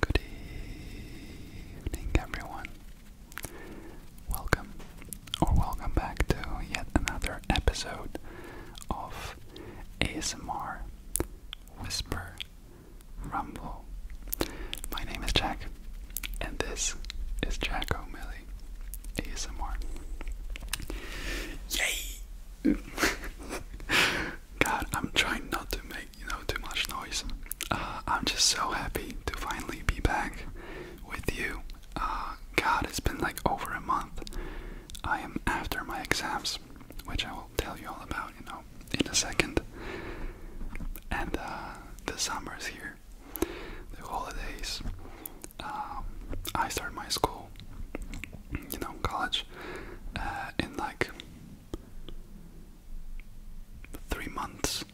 Good evening, everyone. Welcome, or welcome back to yet another episode of ASMR Whisper Rumble. My name is Jack, and this is Jack O'Malley ASMR. Yay! God, I'm trying not to make you know too much noise. Uh, I'm just so happy to finally be back with you. Uh, God, it's been like over a month. I am after my exams, which I will tell you all about, you know, in a second. And uh, the summer is here, the holidays, um, I started my school, you know, college, uh, in like three months.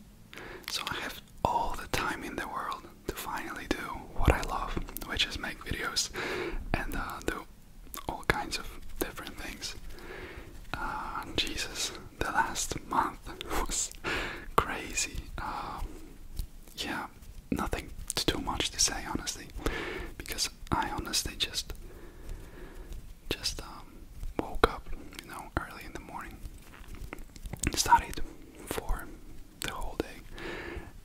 So I have all the time in the world to finally do what I love, which is make videos and uh, do all kinds of different things. Uh, Jesus, the last month was crazy. Um, yeah, nothing too much to say honestly, because I honestly just just um, woke up, you know, early in the morning, studied for the whole day,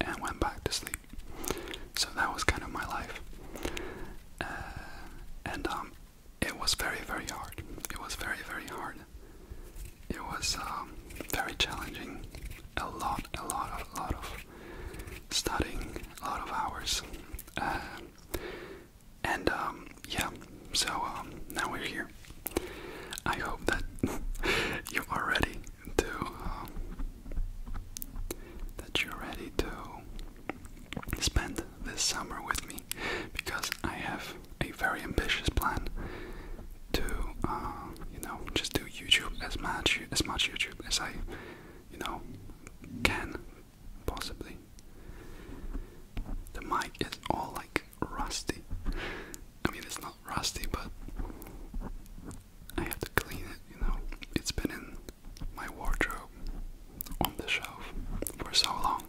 and went back to sleep. So that was kind of my life, uh, and um, it was very very hard. It was very very hard. It was um, very challenging a lot, a lot, a lot of studying, a lot of hours, uh, and um, yeah. So um, now we're here. I hope that you are ready to um, that you're ready to spend this summer with me because I have a very ambitious plan to um, you know just do YouTube as much as much YouTube as I you know can possibly. The mic is all like rusty. I mean it's not rusty but I have to clean it, you know. It's been in my wardrobe on the shelf for so long.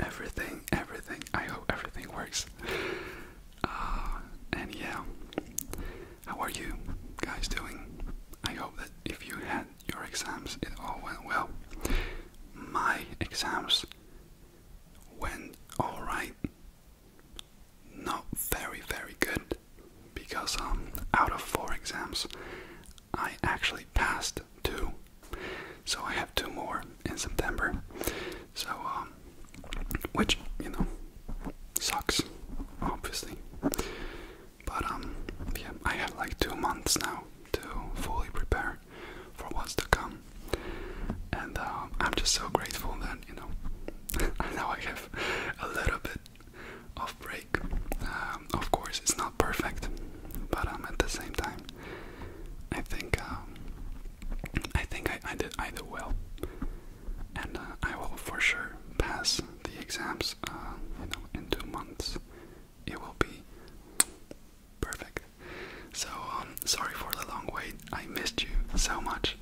Everything, everything. I hope everything works. Uh, and yeah, how are you guys doing? I hope that if you had your exams, it all went well. My exams went alright. Not very, very good because um, out of four exams, I actually passed two. So I have two more in September. So, um, which, you know, sucks, obviously. But, um, yeah, I have like two months now to fully prepare for what's to come. And um, I'm just so grateful that, you know, now I have a little bit of break. Um, of course, it's not perfect, but um, at the same time, I think um, I think I, I did I did well and uh, I will for sure pass the exams. Uh, you know, in two months, it will be perfect. So um, sorry for the long wait. I missed you so much,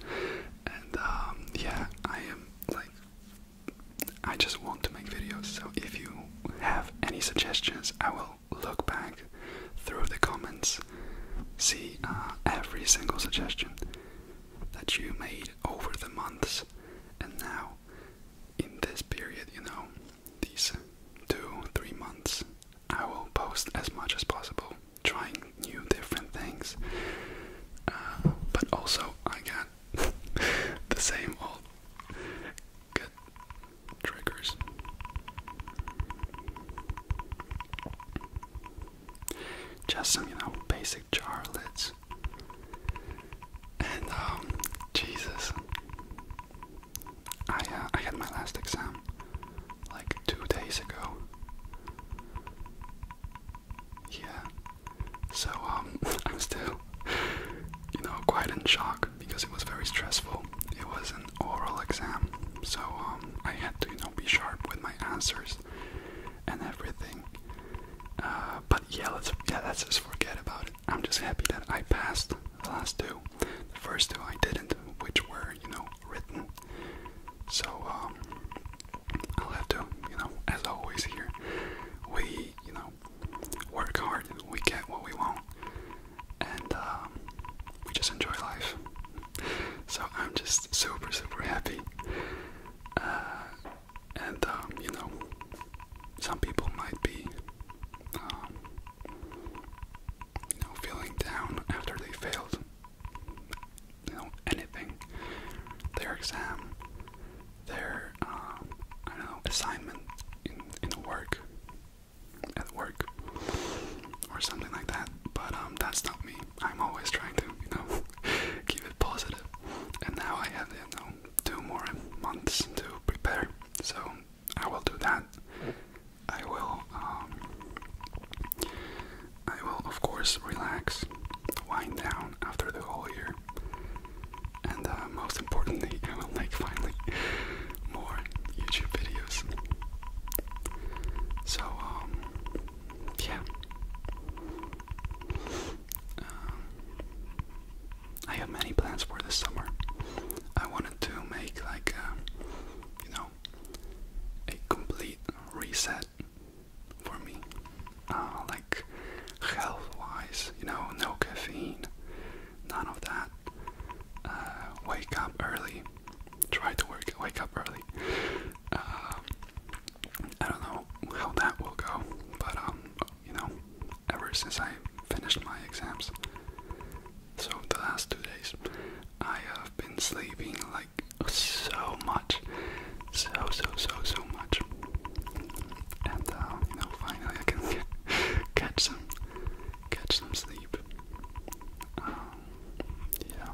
and um, yeah, I am like, I just want to make videos. So if you have any suggestions, I will look back through the comments, see uh, every single suggestion that you made over the months and now in this period you know these two three months i will post as much as possible trying new different things uh, but also i got the same old good triggers just some, you know, basic jar And um, Jesus, I uh, I had my last exam like two days ago. Yeah, so um, I'm still, you know, quite in shock because it was very stressful. It was an oral exam, so um, I had to, you know, be sharp with my answers and everything. Uh, but yeah, let's yeah, let's just forget about it. I'm just happy that I passed the last two. The first two I didn't, which were you know written. So um, I'll have to you know as always here we you know work hard, we get what we want, and um, we just enjoy life so I'm just super super happy. Uh, and um, you know, some people might be, um, you know, feeling down after they failed, you know, anything, their exam, their um, know assignment in work, at work, or something like that. But um, that's not me. I'm always trying to, you know, keep it positive. And now I have, you know, two more months to prepare. So I will do that. I will, um, I will of course relax, wind down after the whole year, and uh, most importantly, I will make finally more YouTube videos. So um, yeah. Um, I have many plans for this summer. I wanted to make like a, uh, you know a complete reset for me, uh, like health-wise. You know, no caffeine, none of that. Uh, wake up early, try to wake up early. Um, I don't know how that will go, but um, you know, ever since I finished my exams, so the last two days, I have been sleeping like so much, so so so so much, and uh, you know, finally I can catch some, catch some sleep. Um, yeah,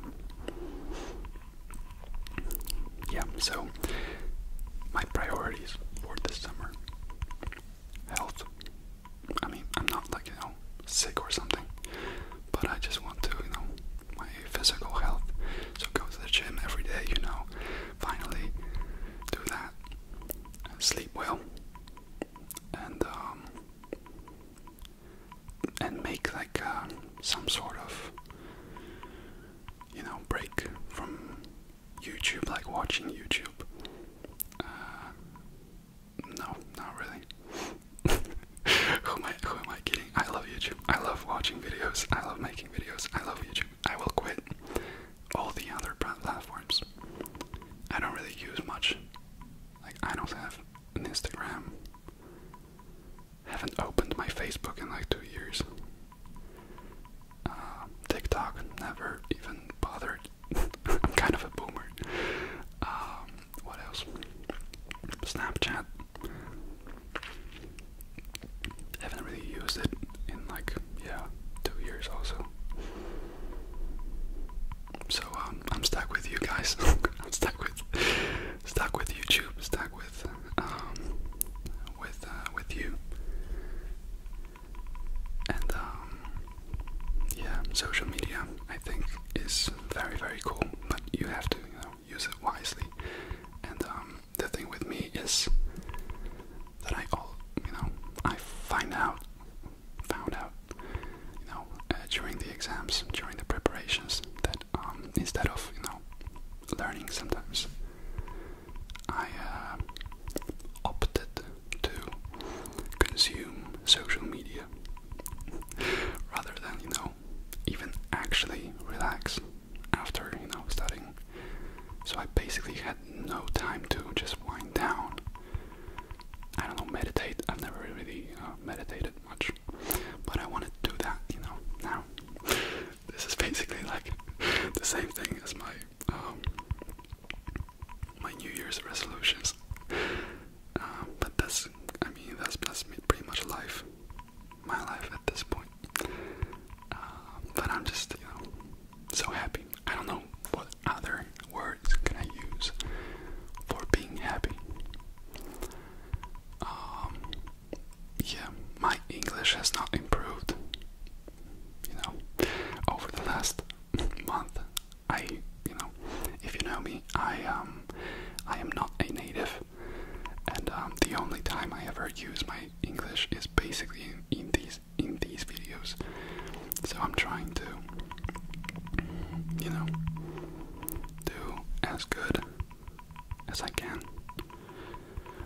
yeah. So my priorities for this summer: health. I mean, I'm not like you know sick or something, but I just want to you know my physical health. So go to the gym every day. You know, finally do that. Sleep well, and um, and make like uh, some sort of you know break from YouTube, like watching YouTube. Uh, no, not really. who am I? Who am I kidding? I love YouTube. I love watching videos. I love making videos. I love YouTube. I will quit all the other platforms. I don't really use much. Like I don't have an Instagram. Haven't opened my Facebook in like two years. Uh, TikTok never even bothered. I'm kind of a boomer. Um, what else? Snapchat. Haven't really used it in like yeah two years also. So um, I'm stuck with you guys. I'm stuck with stuck with YouTube, stuck with um, with uh, with you, and um, yeah, social media I think is very very cool, but you have to you know use it wisely. And um, the thing with me is that I all you know I find out found out you know uh, during the exams during the preparations that um, instead of you know learning sometimes, I uh, opted to consume social media rather than you know even actually relax after you know studying. So I basically had no time to just wind down. I don't know, meditate. I've never really uh, meditated much but I want to do that, you know, now. This is basically like the same thing as my um, my New Year's resolutions, uh, but that's I mean that's that's pretty much life, my life at this point. Uh, but I'm just you know so happy. I don't know what other words can I use for being happy. Um, yeah, my English has not improved. You know, over the last month, I, you know, if you know me, I um, I am not a native, and um, the only time I ever use my English is basically in, in these in these videos. So I'm trying to, you know, do as good as I can.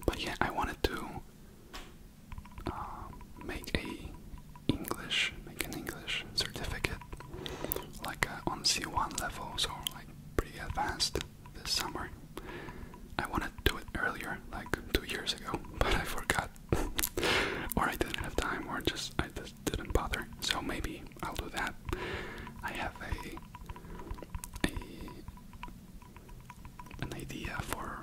But yeah, I wanted to uh, make a English, make an English certificate, like an uh, on C1 level, so like pretty advanced this summer. I wanted to do it earlier, like two years ago, but I forgot, or I didn't have time, or just I just didn't bother. So maybe I'll do that. I have a, a an idea for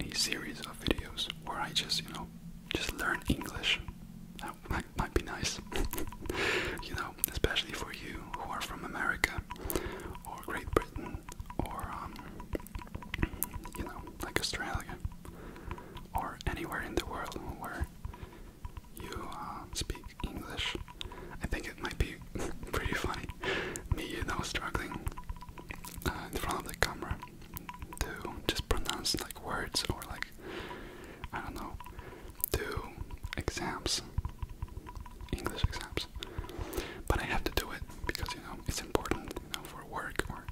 a series of videos where I just, you know, just learn English. That might, might be nice. you know, especially for you who are from America or Great Britain or, um, you know, like Australia or anywhere in the world where you uh, speak English. I think it might be pretty funny, me, you know, struggling uh, in front of the camera to just pronounce like words or like, I don't know, do exams, English exams. But I have to do it because, you know, it's important, you know, for work or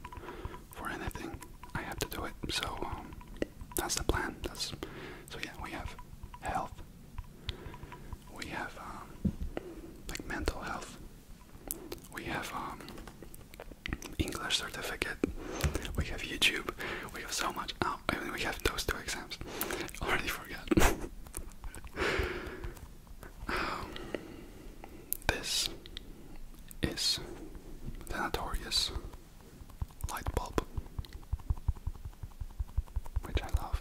for anything. I have to do it, so um, that's the plan. That's so yeah. We have health. We have um, like mental health. We have um, English certificate. We have YouTube. We have so much. Oh, I mean, we have those two exams. Already forgot. um, this is the notorious light bulb, which I love.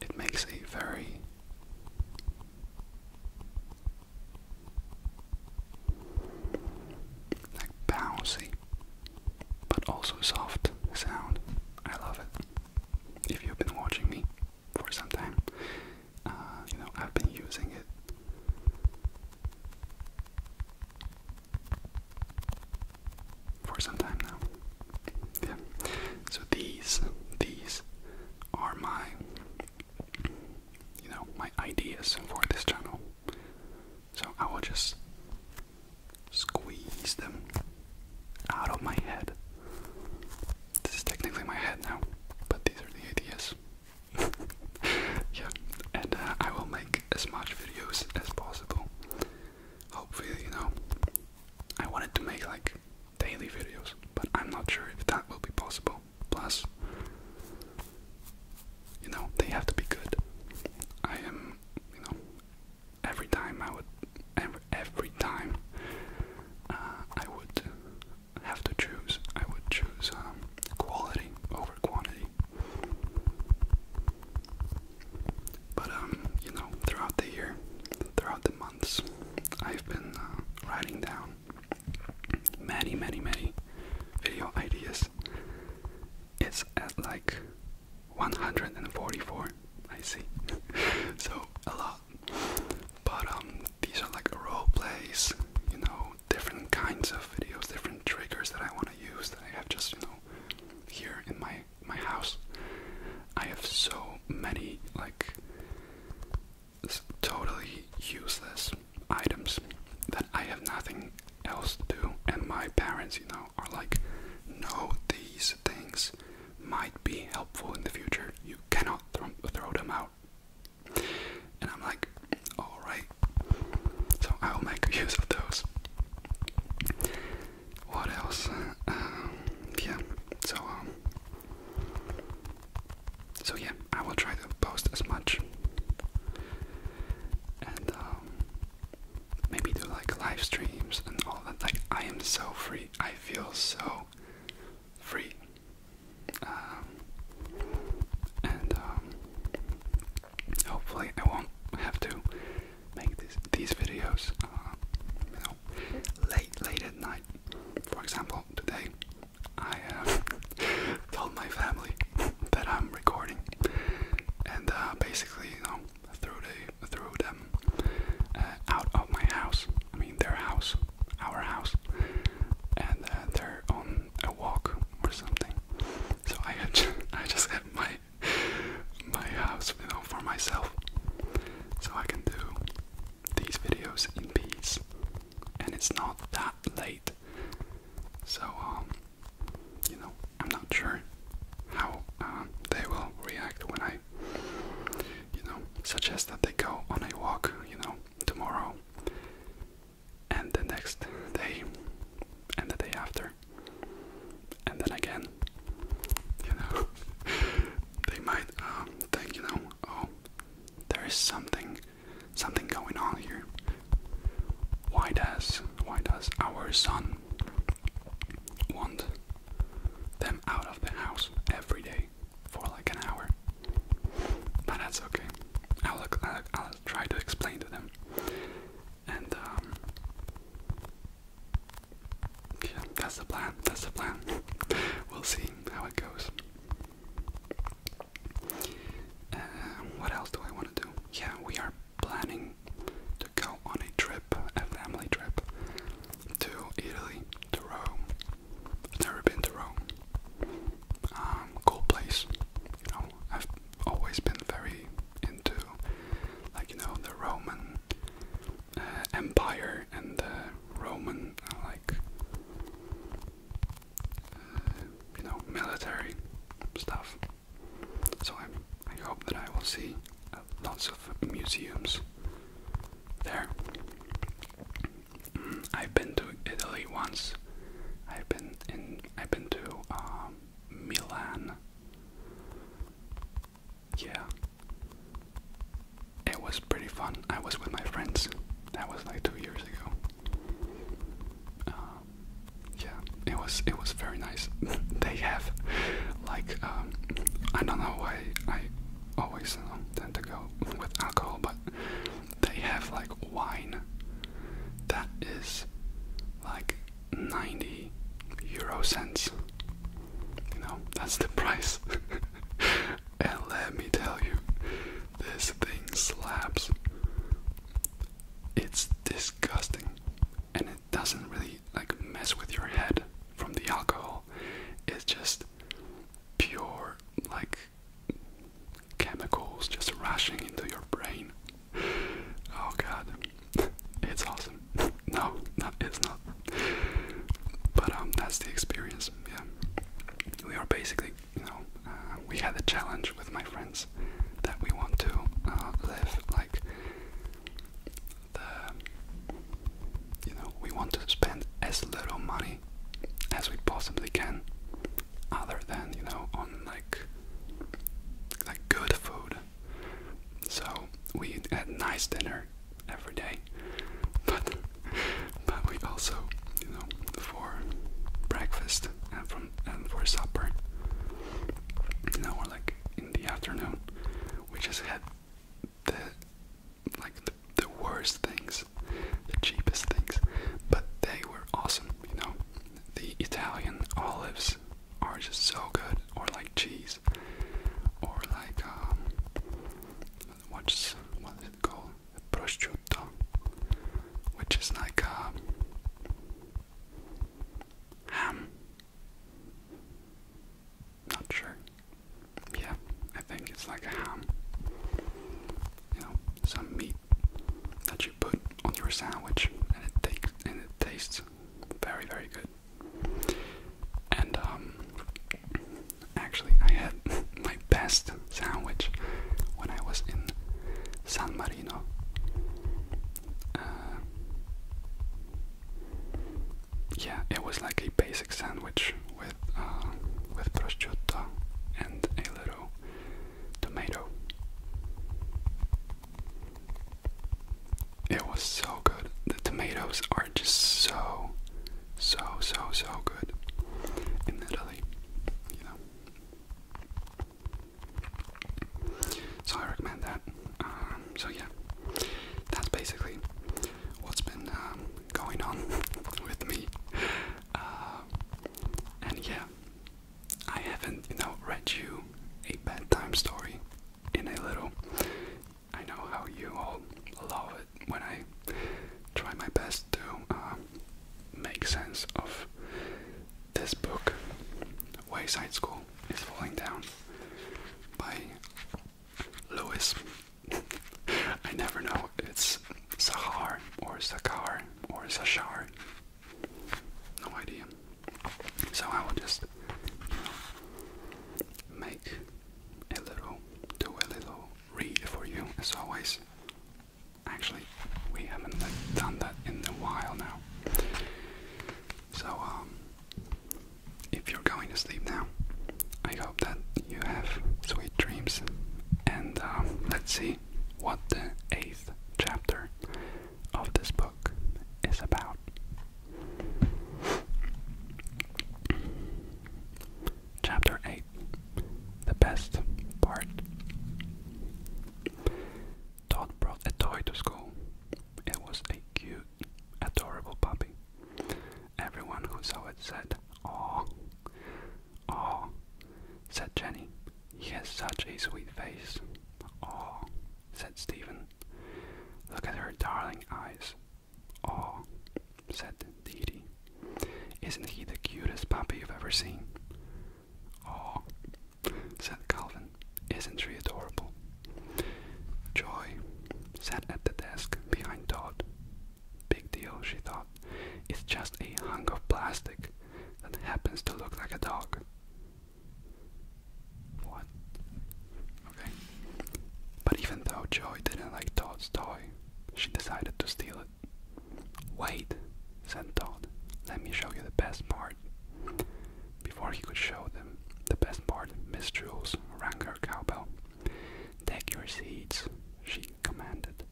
It makes a very like bouncy but also soft sound. I love it. If you've been watching me for some time, uh, you know I've been using it for some time now. Yeah. So these these are my you know, my ideas for this channel. So I will just squeeze them out of my head. This is technically my head now, but these are the ideas. yeah, and uh, I will make as much videos as possible. Hopefully, you know, I wanted to make like daily videos, but I'm not sure if that will be possible. Plus, you know, they have to be good. I am, you know, every time I would, every, every time uh, I would have to choose, I would choose um, quality over quantity. But um, you know, throughout the year, throughout the months, I've been uh, writing down many, many, many video ideas. It's at like 144, I see. so a lot. But um, these are like role plays, you know, different kinds of videos, different triggers that I want to use that I have just, you know, here in my my house. I have so many like totally useless items that I have nothing else to do and my parents, you know, are like no, these things might be helpful in the future. You cannot th throw them out. And I'm like, Alright, so I will make use of those. What else? Um, yeah, so, um, so yeah, I will try to post as much and um, maybe do like live streams and all that. Like, I am so free, I feel so free. Um, and um, Hopefully, I won't have to make this, these videos, uh, you know, late, late at night. For example, today I uh, told my family that I'm recording, and uh, basically, you know, threw the threw them uh, out of my house. I mean, their house, our house, and they're on a walk or something. So I just, I just had my my house, you know, for myself. So I can do these videos in peace, and it's not that late. So um, you know, I'm not sure how um, they will react when I, you know, suggest that they go on a walk, you know, tomorrow and the next day, and the day after, and then again. You know, they might um, think, you know, oh, there is something, something going on here. Why does, why does our son want them out of the house every day for like an hour? But that's okay. I'll, i I'll try to explain to them. And um, yeah, that's the plan. That's the plan. we'll see how it goes. Uh, what else do I want to do? Yeah, we are planning to go on a trip, a family trip, to Italy, to Rome. I've never been to Rome. Um, cool place always been very into, like, you know, the Roman uh, Empire and the Roman, uh, like, uh, you know, military stuff. So i I hope that I will see lots of museums there. Mm, I've been to Italy once. I've been in. I've been to um, Milan. Yeah. It was pretty fun. I was with my friends. That was like two years ago. Um, yeah, it was it was very nice. they have like um, I don't know why I always um, tend to go with alcohol, but they have like wine that is like 90 euro cents. You know, that's the price. and let me tell you, this thing slaps. It's disgusting and it doesn't really like mess with your head from the alcohol. It's just pure like chemicals just rushing into your brain. oh god, it's awesome. No, it's not. But um, that's the experience. Yeah, we are basically, you know, uh, we had a challenge with my friends that we want to uh, live like the, you know, we want to spend as little money as we possibly can other than you know on like like good food. So we had nice dinner every day, but but we also you know for breakfast and from and for supper you know or like in the afternoon we just had the like the, the worst things the cheapest things but they were awesome you know the Italian olives are just so good, or like cheese, or like um, what's what is it called? Prosciutto, which is like um, ham. Not sure. Yeah, I think it's like a ham. You know, some meat that you put on your sandwich, and it takes and it tastes very very good. And um, actually, I had my best sandwich when I was in San Marino. Uh, yeah, it was like a basic sandwich with uh, with prosciutto and a little tomato. It was so good. The tomatoes are just so, so, so, so good in Italy, you know. So I recommend that. Um, so yeah, that's basically what's been um, going on with me. Uh, and yeah, I haven't, you know, read you a bedtime story in a little. I know how you all love it when I try my best to uh, make sense of this book. Wayside School is Falling Down by Lewis. I never know. It's Sahar or Sakar or Sashar. No idea. So I will just make a little, do a little read for you as always. Actually, we haven't done that in a while now. So, um, if you're going to sleep now, I hope that you have sweet dreams. And um, let's see what the eighth chapter of this book is about. Chapter 8 The Best Part Todd brought a toy to school. It was a cute, adorable puppy. Everyone who saw it said, Aw. Aw, said Jenny, he has such a sweet face. Oh, said Stephen. Look at her darling eyes. Oh, said Dee Dee. Isn't he the cutest puppy you've ever seen? Oh, said Calvin. Isn't he adorable? Joy sat at the desk behind Todd. Big deal, she thought. It's just a hunk of plastic that happens to look like a dog. What? Okay. But even though Joy didn't like Todd's toy, she decided to steal it. Wait, said Todd. Let me show you the best part. Before he could show them the best part, Miss Jules rang her cowbell. Take your seats, she commanded.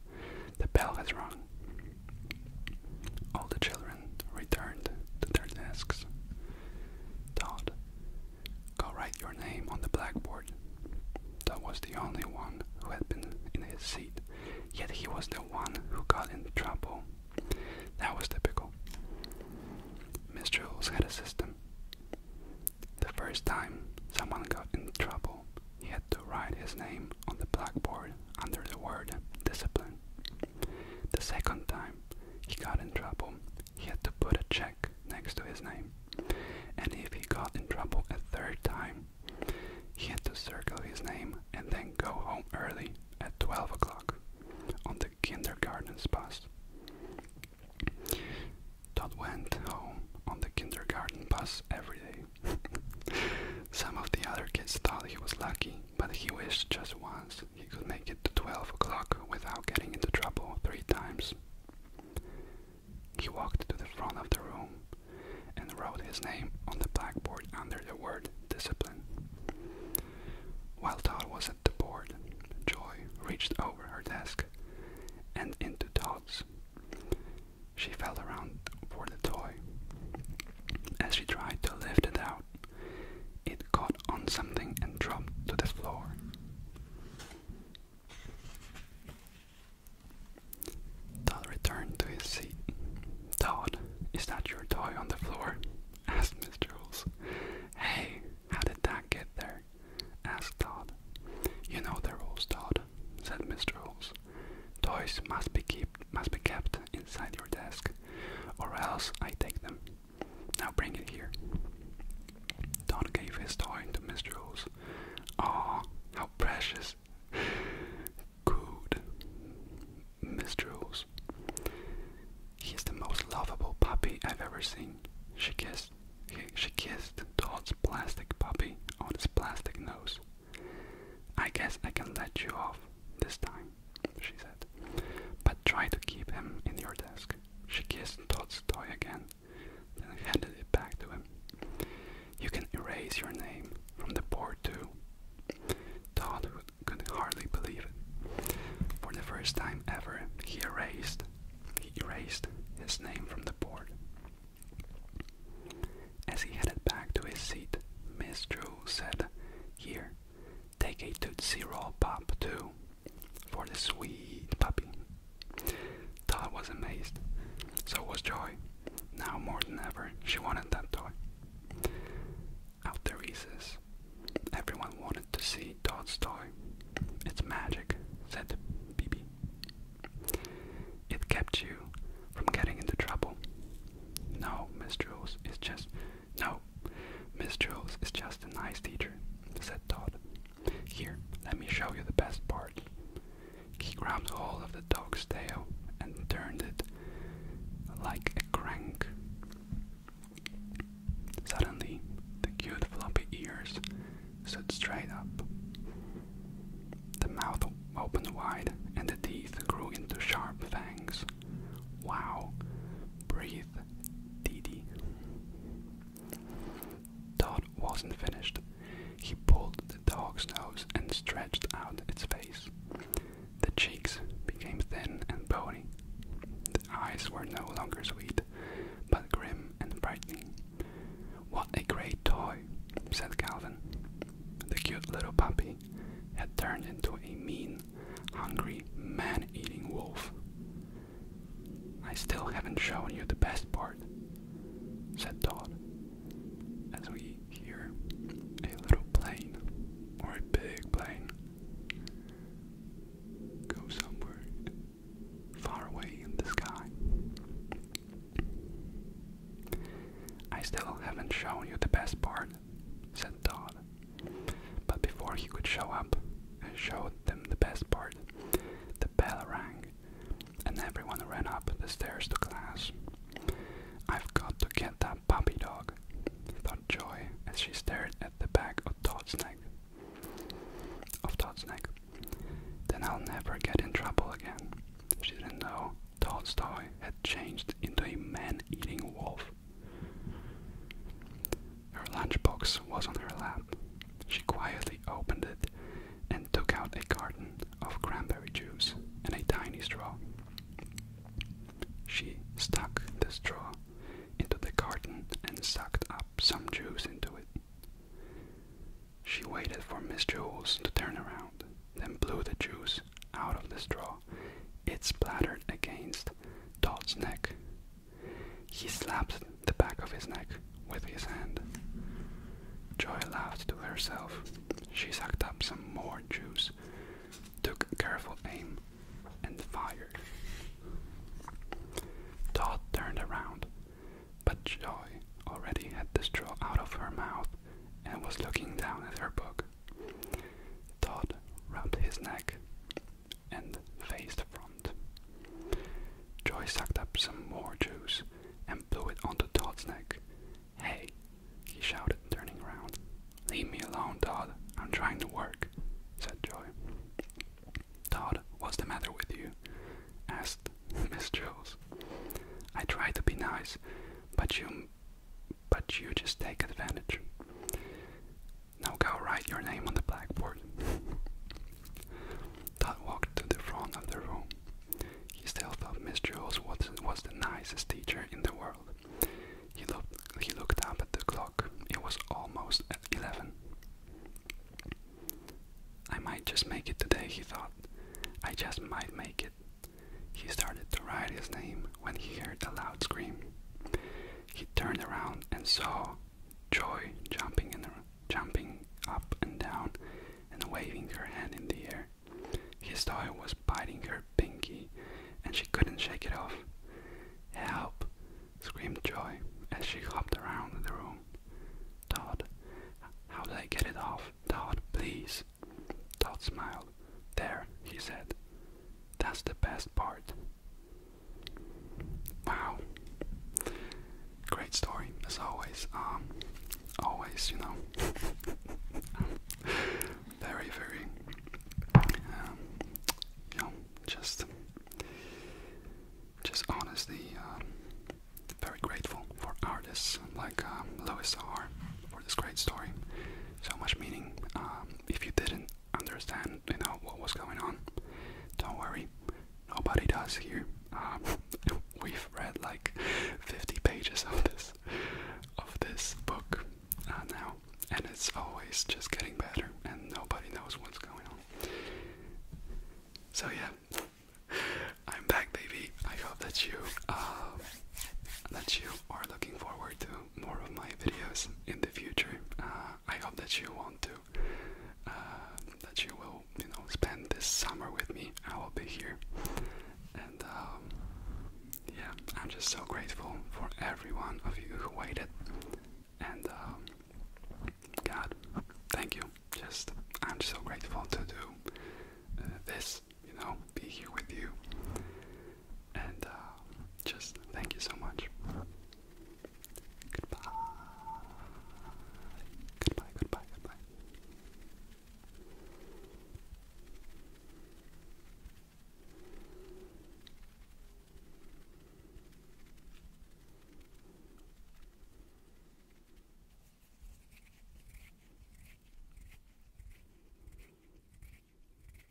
The bell has rung. All the children returned to their desks. Todd, go write your name on the blackboard. Todd was the only one who had been in his seat, yet he was the one who got in trouble. That was typical. Miss Jules had a system. The first time someone got in trouble, he had to write his name on the blackboard under the word discipline. The second time he got in trouble, he had to put a check next to his name. And if he got in trouble a third time, he had to circle his name and then go home early at 12 o'clock on the kindergarten's bus. Todd went home on the kindergarten bus every day. Some of the other kids thought he was lucky but he wished just once he could make it to 12 o'clock without getting into trouble three times. He walked to the front of the room and wrote his name on the blackboard under the word discipline. While Todd was at the board, Joy reached over her desk and into Todd's. She fell around for the toy. As she tried to lift it out, it caught on something and dropped to the floor. Todd returned to his seat. Todd, is that your toy on the floor? asked Miss Jules. Hey, how did that get there? asked Todd. You know the rules, Todd, said Miss Jules. Toys must be kept must be kept inside your desk, or else I take them. Now bring it here. Don gave his toy to Mr. Oz. Ah, how precious! Good. Mr. Oz. He the most lovable puppy I've ever seen. She kissed. she kissed Todd's plastic puppy on his plastic nose. I guess I can let you off this time she said. But try to keep him in your desk. She kissed Todd's toy again, then handed it back to him. You can erase your name from the board too. Todd could hardly believe it. For the first time ever, he erased, he erased his name from the board. As he headed back to his seat, Miss Drew said, "Here, Take a Tootsie Roll Pop too for the sweet puppy. Todd was amazed. So was Joy. Now more than ever, she wanted that toy. After recess, everyone wanted to see Todd's toy. It's magic, said BB. It kept you from getting into trouble. No, Miss Jules, it's just no, Miss Jones is just a nice teacher, said Todd. Here, let me show you the best part. He grabbed hold of the dog's tail and turned it like a crank. Suddenly, the cute floppy ears stood straight up. The mouth opened wide and the teeth grew into sharp fangs. Wow. Breathe, Dee Dee. wasn't finished. He pulled the dog's nose and stretched out its face. The cheeks became thin and bony. The eyes were no longer sweet, but grim and frightening. What a great toy, said Calvin. The cute little puppy had turned into a mean hungry, man eating wolf. I still haven't shown you the best part, said Todd, as we hear a little plane, or a big plane, go somewhere far away in the sky. I still haven't shown you the best part, said Todd. But before he could show up and show them the best part, the bell rang, and everyone ran up the stairs to class. I've got to get that puppy dog, thought Joy as she stared at the back of Todd's neck. Of Todd's neck. Then I'll never get in trouble again. She didn't know Todd's toy had changed into a man man eating wolf. Her lunchbox was on her lap. She quietly opened it and took out a carton of cranberry juice and a tiny straw. She stuck the straw into the carton and sucked up some juice into it. She waited for Miss Jules to turn around, then blew the juice out of the straw it splattered against Todd's neck. He slapped the back of his neck with his hand. Joy laughed to herself. She sucked up some more juice, took careful aim, and fired. Todd turned around, but Joy already had the straw out of her mouth and was looking down at her book. Todd rubbed his neck and faced front. Joy sucked up some more juice and blew it onto Todd's neck. Hey, he shouted, turning around. Leave me alone, Todd. I'm trying to work, said Joy. Todd, what's the matter with you? asked Miss Jules. I try to be nice, but you but you just take advantage. Now go write your name on the blackboard. Todd walked to the front of the room. He still thought Miss Jules was, was the nicest teacher in the world. He looked, he looked up at the clock. It was almost 11. I might just make it today, he thought. I just might make it. He started to write his name when he heard a loud scream. He turned around and saw Joy jumping, in the, jumping up and down and waving her hand in the air. His saw was biting her pinky and she couldn't shake it off. Help! screamed Joy as she hopped around the room. Todd, how did I get it off? Todd, please! Dot smiled. There, he said. That's the best part. Wow. Great story, as always. Um, always, you know. very, very, um, you know, just, just honestly, um, very grateful for artists like um, Louis R. for this great story so much meaning. Um, if you didn't understand, you know what was going on, don't worry, nobody does here. Um, we've read like 50 pages of this of this book uh, now, and it's always just getting better, and nobody knows what's going on. So yeah, I'm back, baby. I hope that you. Uh, that you are looking forward to more of my videos in the future. Uh, I hope that you want to, uh, that you will, you know, spend this summer with me. I will be here, and um, yeah, I'm just so grateful for every one of you who waited. And um, God, thank you. Just, I'm so grateful to do uh, this you know, be here with you. And uh, just thank you so much. Goodbye. Goodbye, goodbye, goodbye.